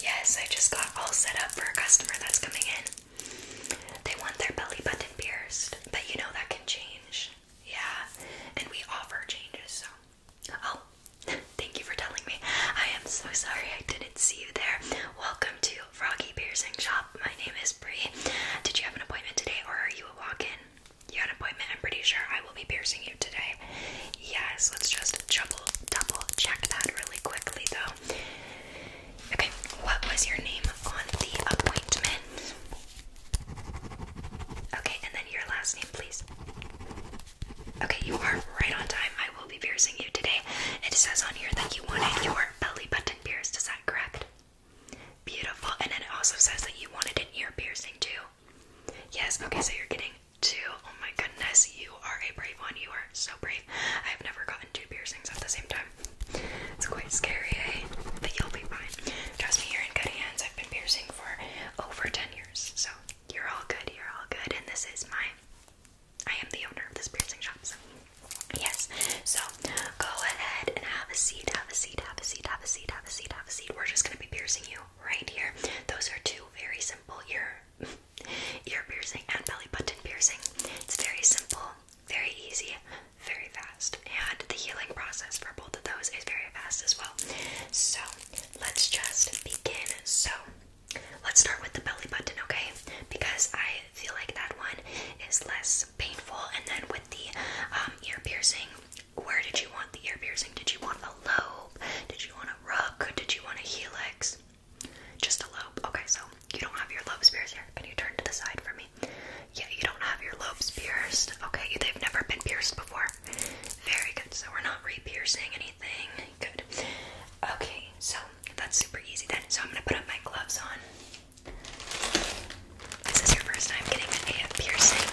Yes, I just got all set up for a customer that's coming in. They want their belly button pierced, but you know that can change. Yeah, and we offer changes, so. Oh, thank you for telling me. I am so sorry I didn't see you there. Welcome to Froggy Piercing Shop. My name is Bree. Did you have an appointment today or are you a walk in? You had an appointment, I'm pretty sure I will be piercing you today. Yes, let's just double double check that really quickly though. Okay, what was your name on the appointment? Okay, and then your last name, please. Okay, you are right on time. I will be piercing you today. It says on here that you wanted your belly button pierced. Is that correct? Beautiful. And then it also says that you wanted an ear piercing too. Yes, okay, so you're getting Two. Oh my goodness, you are a brave one. You are so brave. I have never gotten two piercings at the same time. It's quite scary, eh? But you'll be fine. Trust me, you're in good hands. I've been piercing for over 10 years. So you're all good. You're all good. And this is my. I am the owner of this piercing shop. So. Yes. So go ahead and have a seat. Have a seat. Have a seat. Have a seat. Have a seat. Have a seat. We're just going to be piercing you right here. Those are two very simple. You're ear piercing and belly button piercing. It's very simple, very easy, very fast, and the healing process for both of those is very fast as well. So let's just begin. So let's start with the belly button, okay? Because I feel like that one is less painful, and then with the um, ear piercing. Where did you want the ear piercing? Did you want the lobe? Did you want a rub? Good. Did you want a helix? Just a lobe. Okay, so you don't have your lobe pierced here. Can you turn to the side for me? Yeah, you don't have your lobe pierced. Okay, they've never been pierced before. Very good. So we're not re-piercing anything. Good. Okay, so that's super easy then. So I'm gonna put up my gloves on. This is your first time getting an a piercing.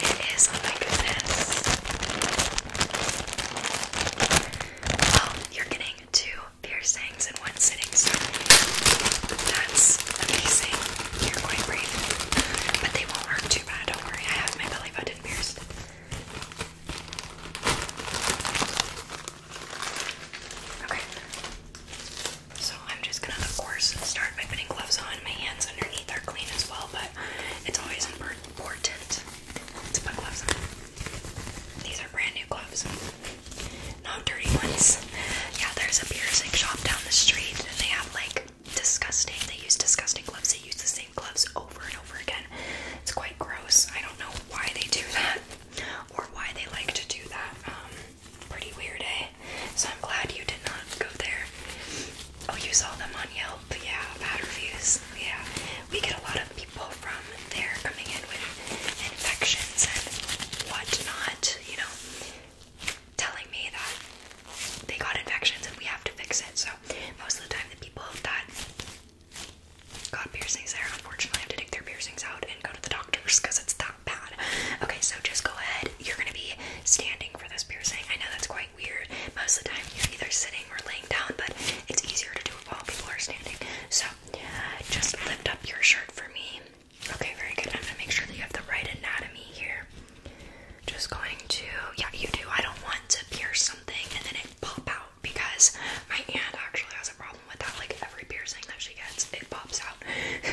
It is, oh my goodness. Well, you're getting two piercings in one sitting, so that's amazing. You're quite brave. But they won't hurt too bad, don't worry. I have my belly button pierced. Okay. So I'm just gonna, of course, start by putting gloves on. My hands underneath are clean as well, but it's always important Portent. Let's put gloves on. These are brand new gloves. Not dirty ones. Yeah, there's a piercing shop down the street and they have like disgusting, they use disgusting gloves. They use the same gloves over and over again. It's quite gross. I don't know why they do that or why they like to do that. Um, pretty weird, eh? So I'm glad you did not go there. I'll use all them on Yelp? Yeah, bad reviews. Yeah, we get a lot of people from there coming in with infections and whatnot, you know, telling me that they got infections and we have to fix it. So, most of the time, the people that got piercings there unfortunately have to take their piercings out and go to the doctors because it's that bad. Okay, so just go ahead. You're gonna be standing for this piercing. I know that's quite weird. Most of the time, you're either sitting or laying down, but it's easier to do it while people are standing. So, just lift up your shirt for me. Okay, very good. I'm gonna make sure that you have the right anatomy here. Just going to, yeah, you do. I don't want to pierce something and then it pop out because my aunt actually has a problem with that. Like every piercing that she gets, it pops out.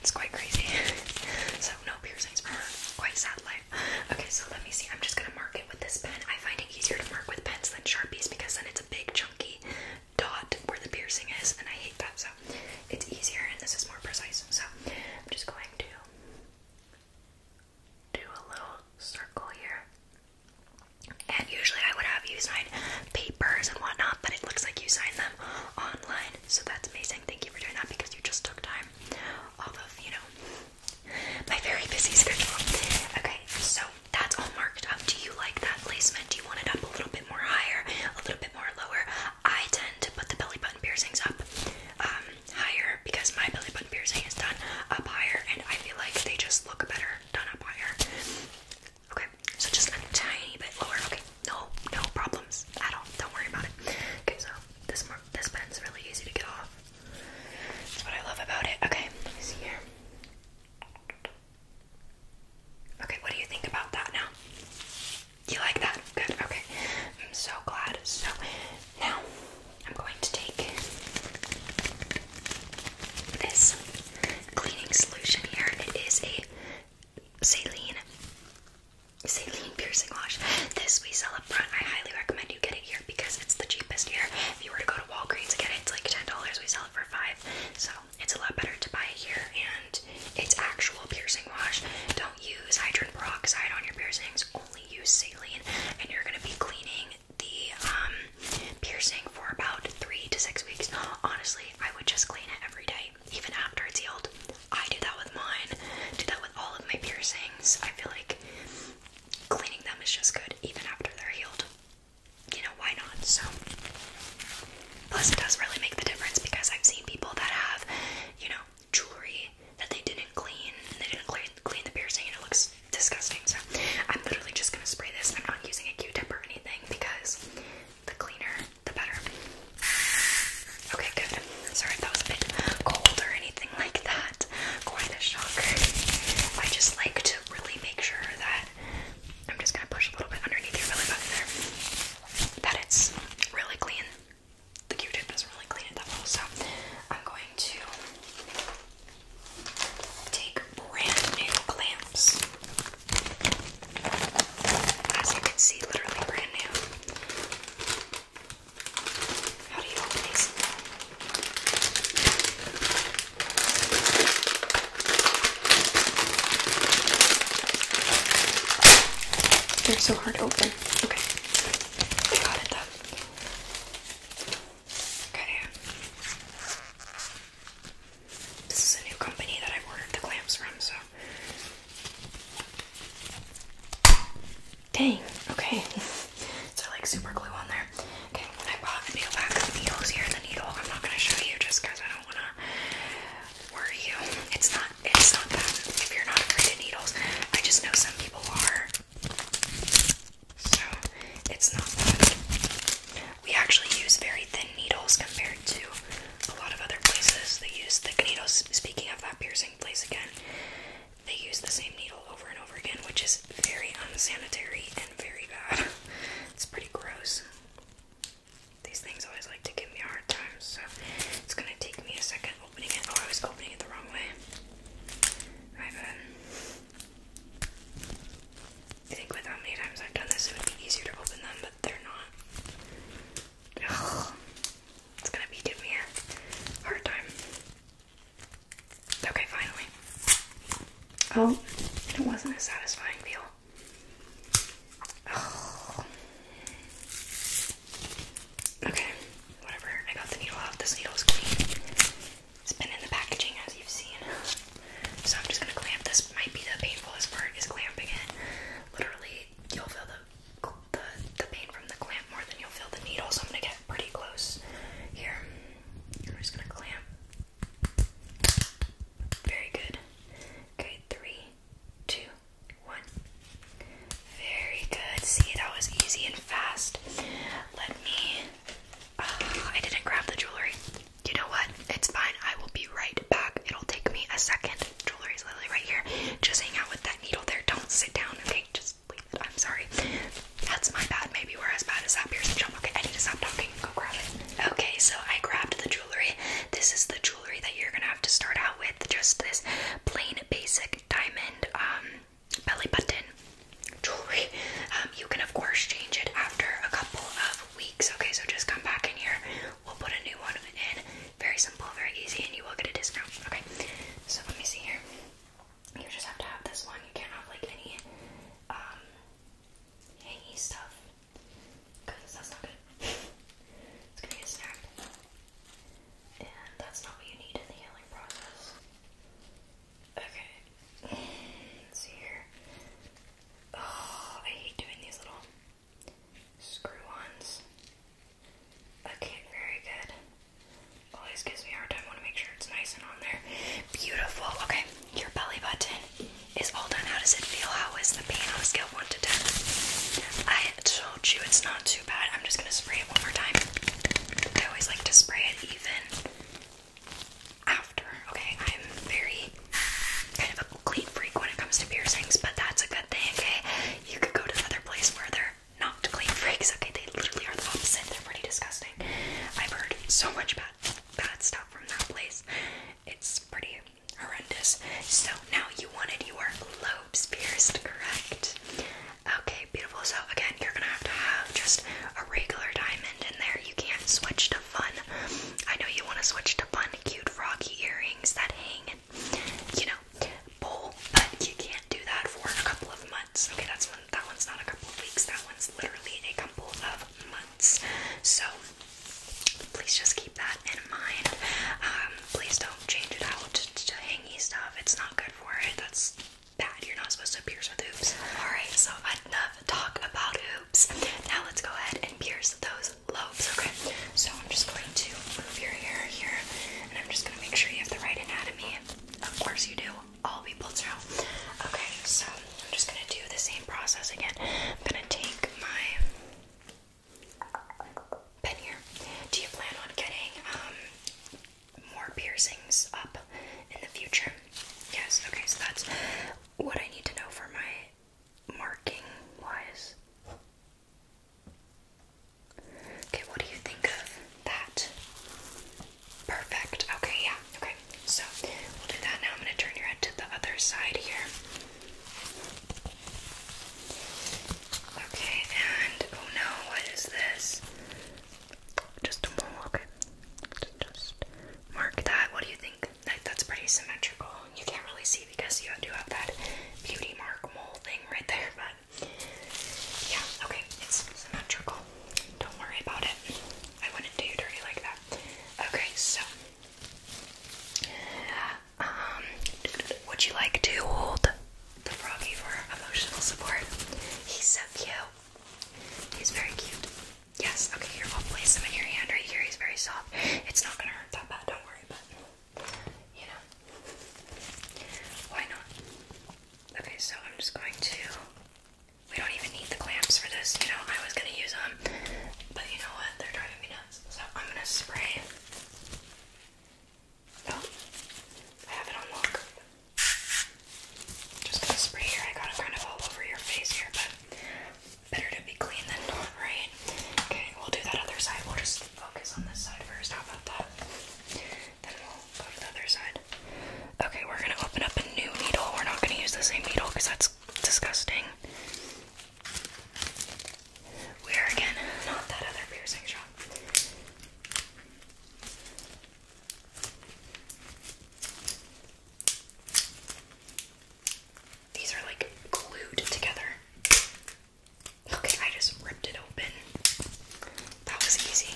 it's quite crazy. so no piercings for her. Quite sadly. Okay. so let me see. I'm just gonna mark it with this pen. I find it easier to mark with pens than Sharpies because then it's a big chunky dot where the piercing is, and I hate that. So it's easier and this is more precise. So I'm just going to do a little circle here. And usually I would have you sign papers and whatnot, but it looks like you signed them online. So that's amazing. Thank you for doing that because you just took time all of, you know, my very busy schedule. Okay, so that's all marked up. Do you like that placement? Do you want it up a little bit more higher, a little bit more lower? I tend to put the belly button piercings up um, higher because my belly button piercing is done up higher and I feel like they just look better done up higher. Okay, so just a tiny bit lower. Okay, no, no problems at all. Don't worry about it. Okay, so this this pen's really easy to get off. That's what I love about it. Okay, let me see here. Okay, what do you think about that now? You like that? Good. Okay, I'm so glad. So now I'm going to take this cleaning solution here. It is a saline saline piercing wash. This we sell up front. I highly recommend you get it here because it's the cheapest here. If you were to go to Walgreens again, it's like ten dollars. We sell it for five, so it's a lot better to buy it here. And it's actual piercing wash. Don't use hydrogen peroxide on your piercings. Only use saline, and you're gonna be cleaning the um, piercing for about three to six weeks. Honestly, I would just clean it every day even after it's healed. I do that with mine, do that with all of my piercings. I feel like cleaning them is just good even after they're healed. You know, why not? So, plus, it does really make the difference because I've seen people that have, you know, jewelry that they didn't clean and they didn't clean the piercing and it looks disgusting. So, I'm literally just gonna spray this. I'm not using a q tip or anything because the cleaner the better. Okay, good. Sorry that was a bit cold or anything like that. Quite a shock. I just like to really make sure that I'm just gonna push a little bit underneath your belly button there. That it's really clean. The Q-tip is really clean at that level, so I'm going to take brand new clamps. As you can see, literally brand new. How do you open these? They're so hard to open. Okay. I got it Okay. This is a new company that i ordered the clamps from, so Dang, okay. So like super glue on there. Okay, I bought a peel back of needles here, the needle. I'm not gonna show you just I don't wanna worry you. It's not it's not that if you're not afraid of needles. I just know some people are. So it's not that. We actually use very thin needles compared to a lot of other places they use thick needles. Speaking of that piercing place again, they use the same needle over and over again, which is very unsanitary and very bad. It's pretty gross. These things always like to give me a hard time, so it's gonna take me a second opening it. Oh, I was opening it the wrong way. My bad. I think with how many times I've done this, it would be easier to open them, but they're not. It's gonna be giving me a hard time. Okay, finally. Oh, it wasn't a satisfying feel. Okay, whatever. I got the needle out. This needle is clean. It's been in the packaging as you've seen. So I'm just gonna clamp this. Might be the painfulest part is clamping it. Literally, you'll feel the, the the pain from the clamp more than you'll feel the needle. So I'm gonna get pretty close here. I'm just gonna clamp. Very good. Okay, three, two, one. Very good. See, that was easy and fast. Let me. Uh, I didn't grab the jewelry. You know what? It's fine. I will be right back. It'll take me a second. Jewelry is literally right here. Just hang out with that needle there. Don't sit down, okay? Just leave it. I'm sorry. That's my bad. Maybe we're as bad as that piercing jump. Okay, I need to stop talking. Go grab it. Okay, so I grabbed the jewelry. This is the jewelry that you're gonna have to start out with. Just this plain basic diamond um belly button jewelry. Um, you can of course change it after a couple of weeks. Okay, so just come back in here we'll put a new one in. Very simple, very easy, and you will get a discount. Okay, so let me see here. You just have to have this one. You can't have like any um any stuff because that's not good. it's gonna get snapped, and that's not what you need in the healing process. Okay, let's see here. Oh, I hate doing these little screw ones. Okay, very good. Always gives me a hard time. Want to make sure it's nice and on there. Beautiful. Okay, your belly button is all done. How does it feel? How is the pain on a scale one to ten? I told you it's not too bad. I'm just gonna spray it one more time. I always like to spray it even. Ow! Okay, I'm very kind of a clean freak when it comes to piercings, but that's a good thing. Okay, you could go to another place where they're not clean freaks. Okay, they literally are the opposite. They're pretty disgusting. I've heard so much bad bad stuff from that place. It's pretty horrendous. So now you wanted your lobes pierced, correct? Okay, beautiful. So again, you're gonna have to have just a regular diamond in there. You can't switch to fun. I know you want to switch to fun, cute, froggy earrings that hang you know, bowl, but you can't do that for a couple of months. Okay, that's one. That one's not a couple of weeks. That one's literally a couple of months. So please just keep that in mind. Um, please don't change it out to hangy stuff. It's not good for it. That's bad. You're not supposed to pierce with hoops. Alright, so enough enough talk about hoops. Now let's go ahead and pierce those lobes, okay? So I'm just going to move your hair here and I'm just going to make sure you have the right anatomy. Of course you do. All people do. Okay, so I'm just going to do the same process again. I'm going to take my pen here. Do you plan on getting um, more piercings up in the future? Yes. Okay, so that's what I need to know for my marking wise. Okay, what do you think of that? Perfect. Okay, yeah. Okay, so we'll do that now. I'm going to turn your head to the other side here. Okay, and oh no, what is this? Just a mole. Okay, just, mark that. What do you think think that's pretty symmetrical. You can't really see because you do have that beauty mark mole thing right there, but yeah, okay, it's symmetrical. Don't worry about it. I wouldn't do you dirty like that. Okay, so um, would you like to hold the froggy for emotional support? He's so cute. He's very cute. Yes, okay, here, I'll place him in your hand right here. He's very soft. It's not gonna hurt that bad, don't worry, but you know. Why not? Okay, so I'm just going to we don't even need the clamps for this, you know, I was gonna use them. But you know what? They're driving me nuts. So I'm gonna spray. Oh, I have it on Just gonna spray here. I got it kind of all over your face here, but better to be clean than not, right? Okay, we'll do that other side. We'll just focus on this side first. How about that? Then we'll go to the other side. Okay, we're gonna open up a new needle. We're not gonna use the same needle because that's disgusting. We are again not that other piercing shop. These are like glued together. Okay, I just ripped it open. That was easy.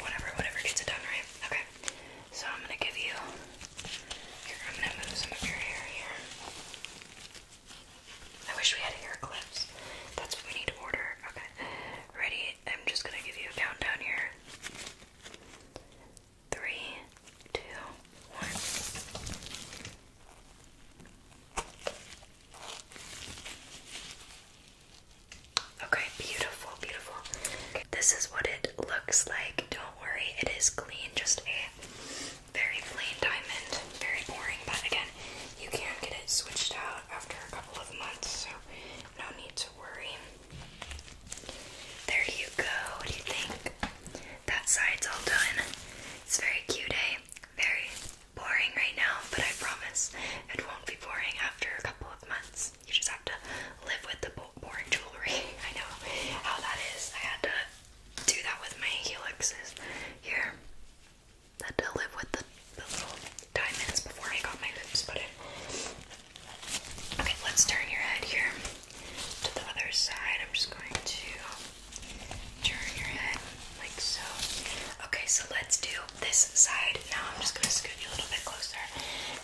Whatever, whatever gets it done, right? Okay. So I'm gonna give you here, I'm gonna move some of your hair here. I wish we had hair clips. That's what we need to order. Okay. Ready? I'm just gonna give you a countdown here. Three, two, one. Okay, beautiful, beautiful. this is what it looks like. Don't worry, it is clean, just a very plain diamond. Very boring, but again, you can get it switched out after a couple of months, so no need to worry. There you go. What do you think? That side's all done. It's very cute, eh? Very boring right now, but I promise it won't be boring after a couple of months. You just have to live with the boring jewelry. I know how that is. I had to do that with my helixes here. had to live with the, little diamonds before I got my lips put in. Okay, let's turn your head here to the other side. I'm just going to turn your head like so. Okay, so let's do this side now. I'm just going to scoot you a little bit closer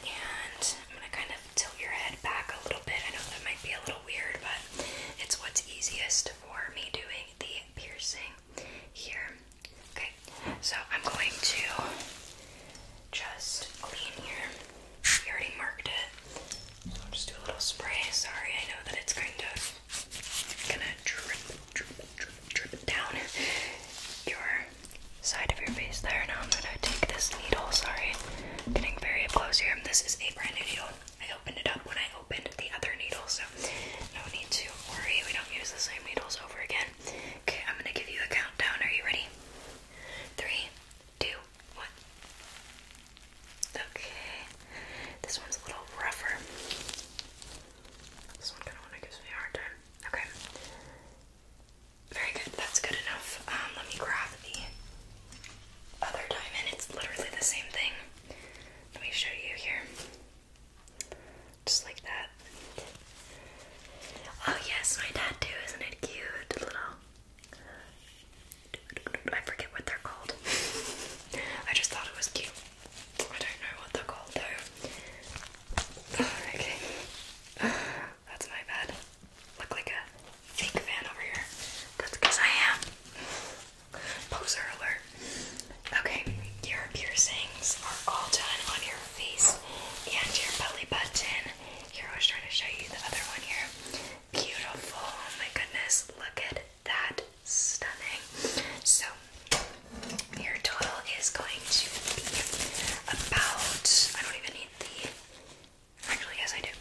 and I'm going to kind of tilt your head back a little bit. I know that might be a little weird, but it's what's easiest for me doing the piercing here. Okay, so I'm going to just clean here. You already marked it. So I'll just do a little spray. Sorry, I know that it's kind of gonna drip, drip, drip, drip down your side of your face there. Now I'm gonna take this needle. Sorry, getting very close here. This is a brand new needle. I opened it up when I opened the other needle, so no need to worry. We don't use the same needles over again. Okay, I'm gonna give you a countdown. Are you ready? Three, two, one. Okay. This one's a little rougher. This one kind of, gives me a hard time. Okay. Very good. That's good enough. Um, let me grab the other diamond. It's literally the same thing. Let me show you here. Just like that. Oh yes, my tattoo, isn't it cute? Little I forget what they're called. I just thought it was cute. I don't know what they're called though. okay. That's my bad. Look like a fake fan over here. That's because I am. Poser alert. Okay, your piercings are all done on your face and your belly button. Here, I was trying to show you the other one here. Beautiful. Oh my goodness. Look at that. Stunning. So, your total is going to be about, I don't even need the, actually, yes, I do.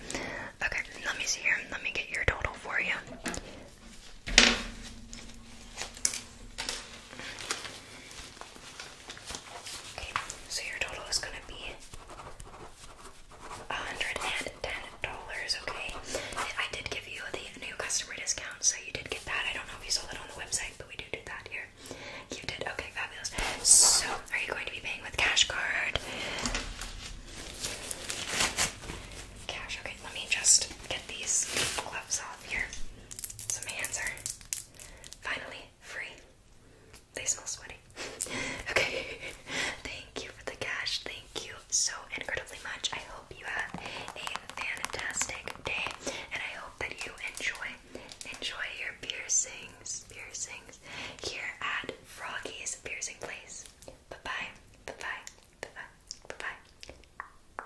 Okay, let me see here. Let me get your total for you. Okay, so your total is going to be $110, okay? I did give you the new customer discount, so you did get that. I don't know if you saw that on the website, but we do do that here. You did? Okay, fabulous. So, are you going to be paying with cash card? Cash, okay, let me just get these gloves off here. So my hands are finally free. They smell sweaty. okay. Thank you for the cash. Thank you so incredibly much. I hope you have a fantastic day and I hope that you enjoy enjoy your piercings. Piercings here at Froggy's Piercing Place. Bye-bye. Bye-bye. Bye-bye. Bye-bye.